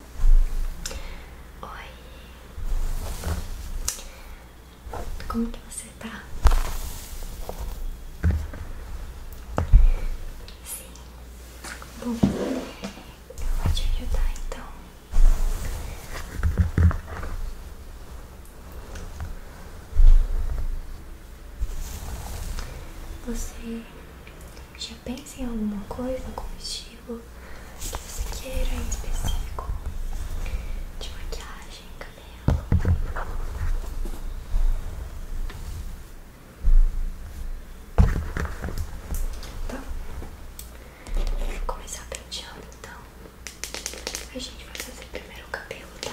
Oi. Como que você tá? Sim. Bom, eu vou te ajudar então. Você já pensa em alguma coisa com estilo? objetivo que você queira em específico de maquiagem, cabelo. Então, vou começar penteando então. A gente vai fazer primeiro o cabelo, tá?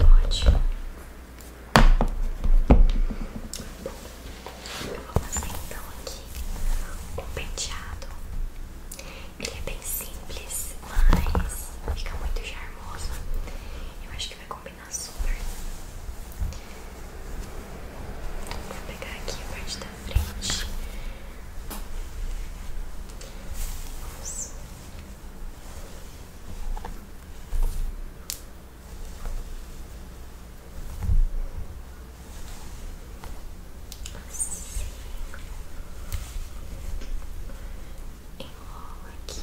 Ótimo. Eu vou fazer então aqui o penteado. Ele é bem simples, mas fica muito charmoso. Eu acho que vai combinar super. Vou pegar aqui a parte da frente. Nossa. Assim. Enrola aqui.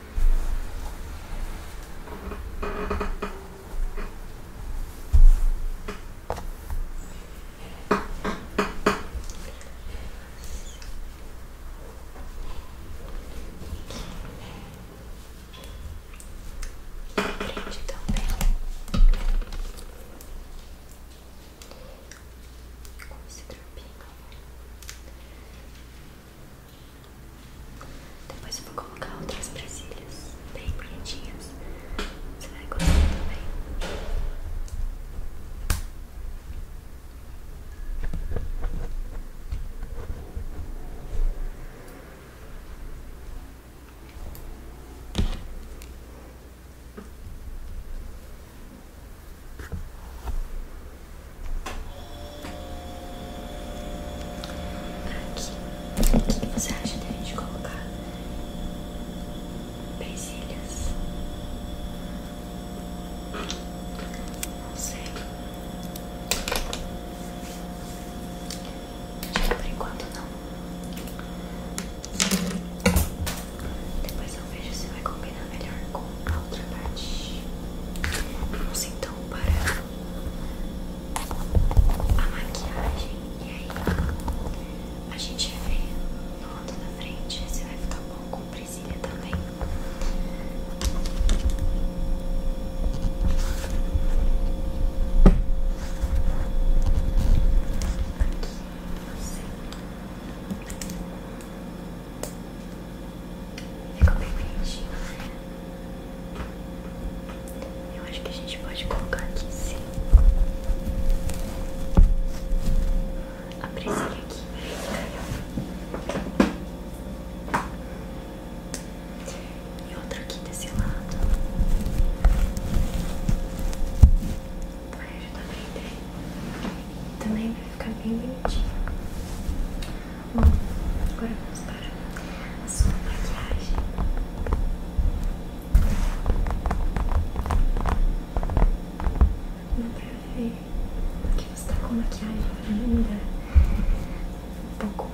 Prende também com esse tropinho. Depois eu vou colocar outras presilhas bem bonitinhas. Você vai gostar também. Aqui, o que você acha da gente colocar presilhas? Não sei. Acho que por enquanto não. Depois eu vejo se vai combinar melhor com a outra parte. Vamos então para a maquiagem. E aí a gente vê no lado da frente se vai ficar bom com presilha também. Aqui, assim. Ficou bem bonitinho, né? Eu acho que a gente pode colocar aqui sim. A presilha aqui, E outra aqui desse lado. Vai ajudar a prender. Também vai ficar bem bonitinho. Bom, agora vamos para a sua maquiagem. Dá pra ver que você tá com maquiagem linda. um pouco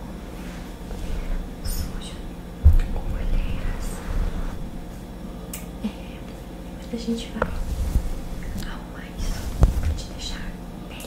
suja, com olheiras. É, mas a gente vai arrumar isso pra te deixar bem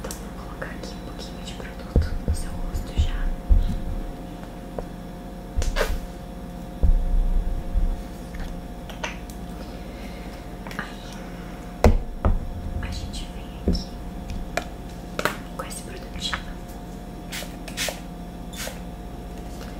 Então vou colocar aqui um pouquinho de produto no seu rosto já. Aí a gente vem aqui com esse produtinho.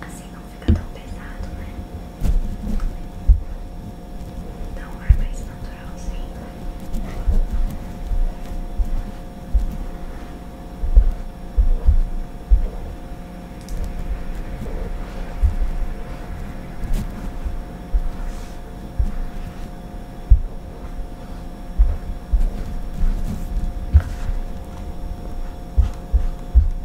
Assim não fica tão pesado, né? Dá um ar mais naturalzinho. Vou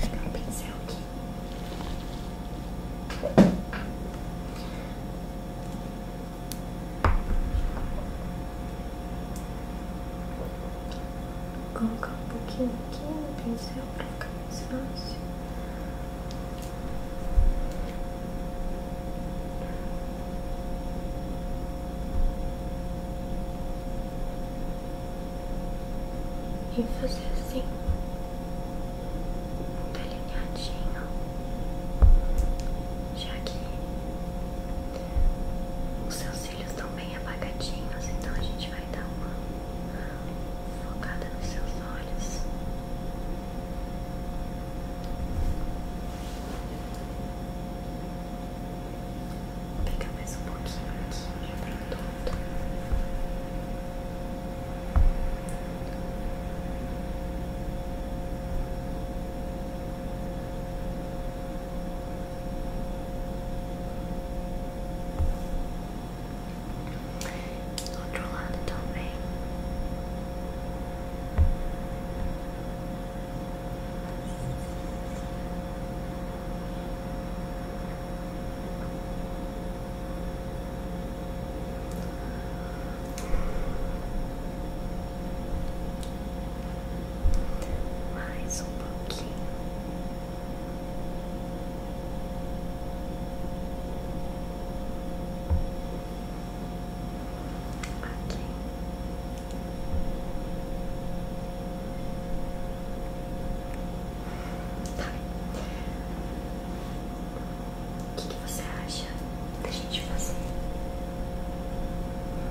pegar um pincel aqui. Vou colocar um pouquinho aqui no pincel para ficar mais fácil. E fazer assim, delineadinho, já que os seus cílios estão bem apagadinhos, então a gente vai dar uma focada nos seus olhos. Pega mais um pouquinho aqui pra todo. outro lado também. Mais um pouquinho. Aqui. Tá. O que, que você acha da gente fazer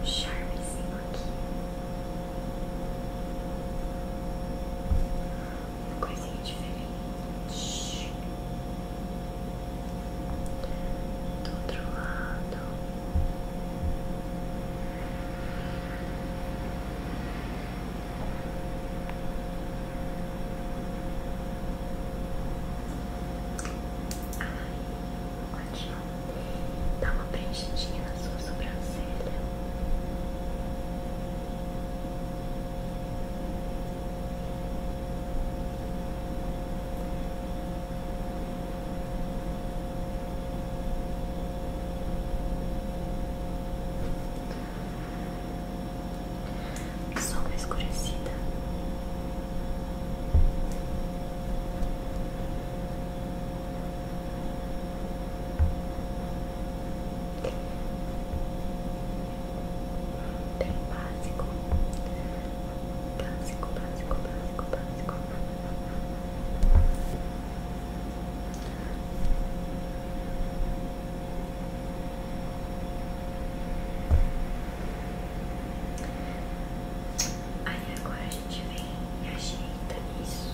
um charmezinho aqui? Uma coisinha diferente do outro lado. Ai, ótimo. Dá uma preenchidinha na sua sobrancelha sombra é escurecida. Tem um básico, básico, básico básico, Aí agora a gente vem e ajeita isso.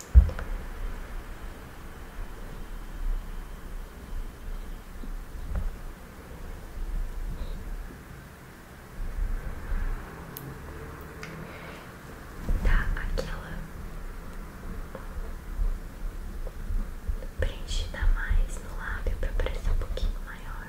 Tá aquela preenche preenchida mais no lábio para parecer um pouquinho maior.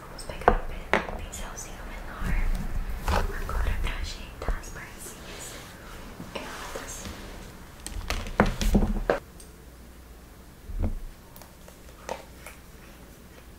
Vamos pegar um pincelzinho menor agora pra ajeitar as parcinhas erradas.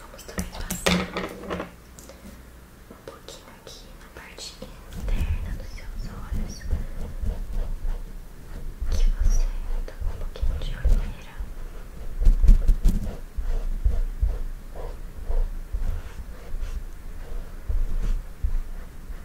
Vamos também passar um pouquinho aqui na parte interna dos seus olhos, que você tá com um pouquinho de olheira.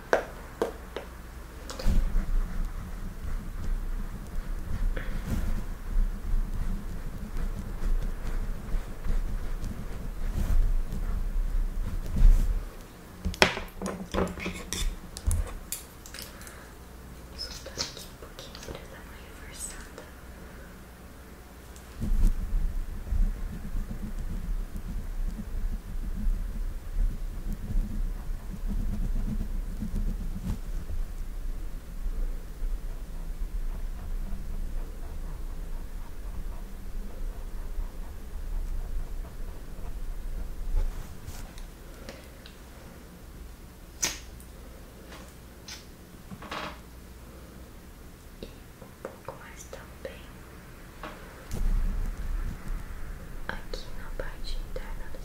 Soltar aqui um pouquinho pra dar uma reforçada. Tá e um pouco mais também aqui na parte interna do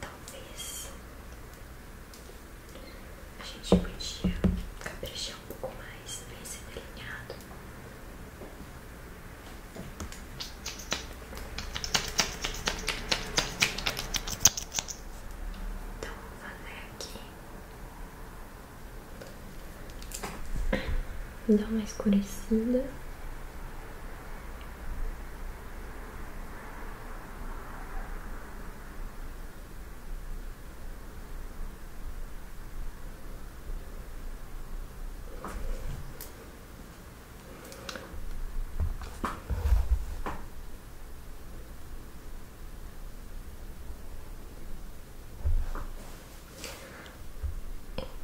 talvez a gente podia caprichar um pouco mais nesse delineado. Então, vou fazer aqui. dar uma escurecida.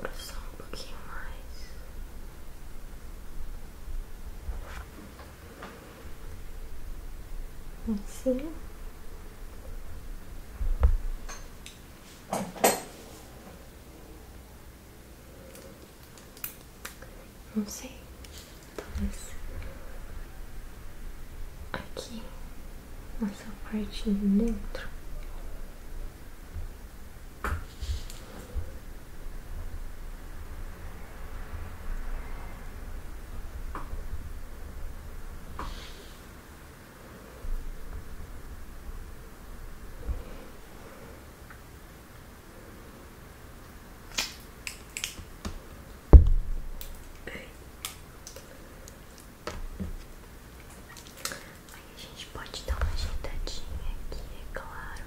Engrossar um pouquinho mais não sei Não sei. Talvez aqui nessa parte de dentro. Aí a gente pode dar uma ajeitadinha aqui, é claro.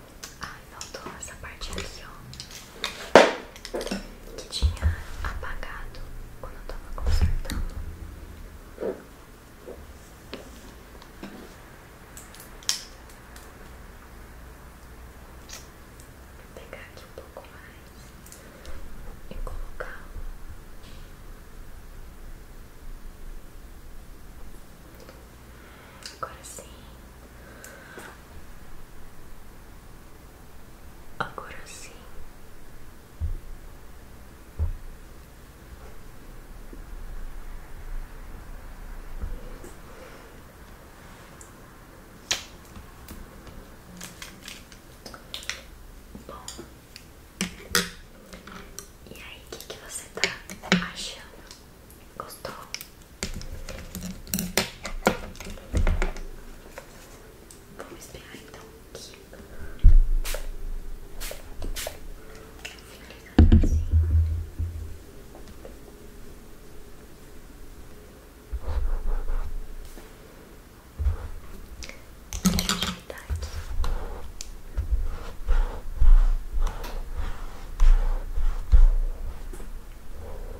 Ai, faltou essa parte aqui, ó. Que tinha apagado quando eu tava consertando. Vou pegar aqui um pouco mais e colocar. Agora sim. Agora sim. Bom, e aí, o que, que você tá achando? Gostou? Vamos esperar então aqui. Finalizando assim. Deixa eu ajeitar aqui.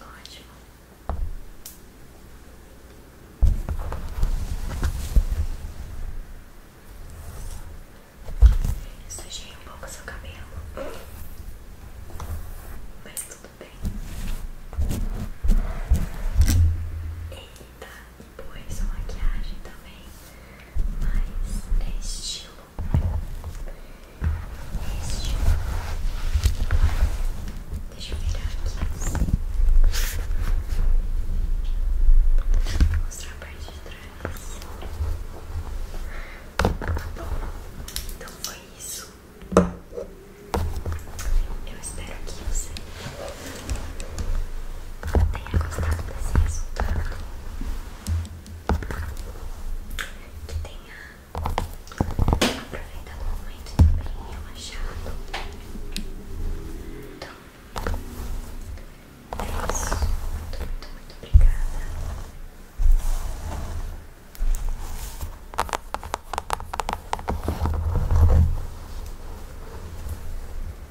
Ótimo. Eu sujei um pouco seu cabelo, mas tudo bem bonita e boa maquiagem também, mas é estilo. É estilo. Deixa eu virar aqui assim. mostrar a parte de trás. Tá bom, então foi isso. Eu espero que você tenha gostado desse resultado, que tenha aproveitado o momento bem relaxado. Então, é isso. Muito, muito, muito obrigada.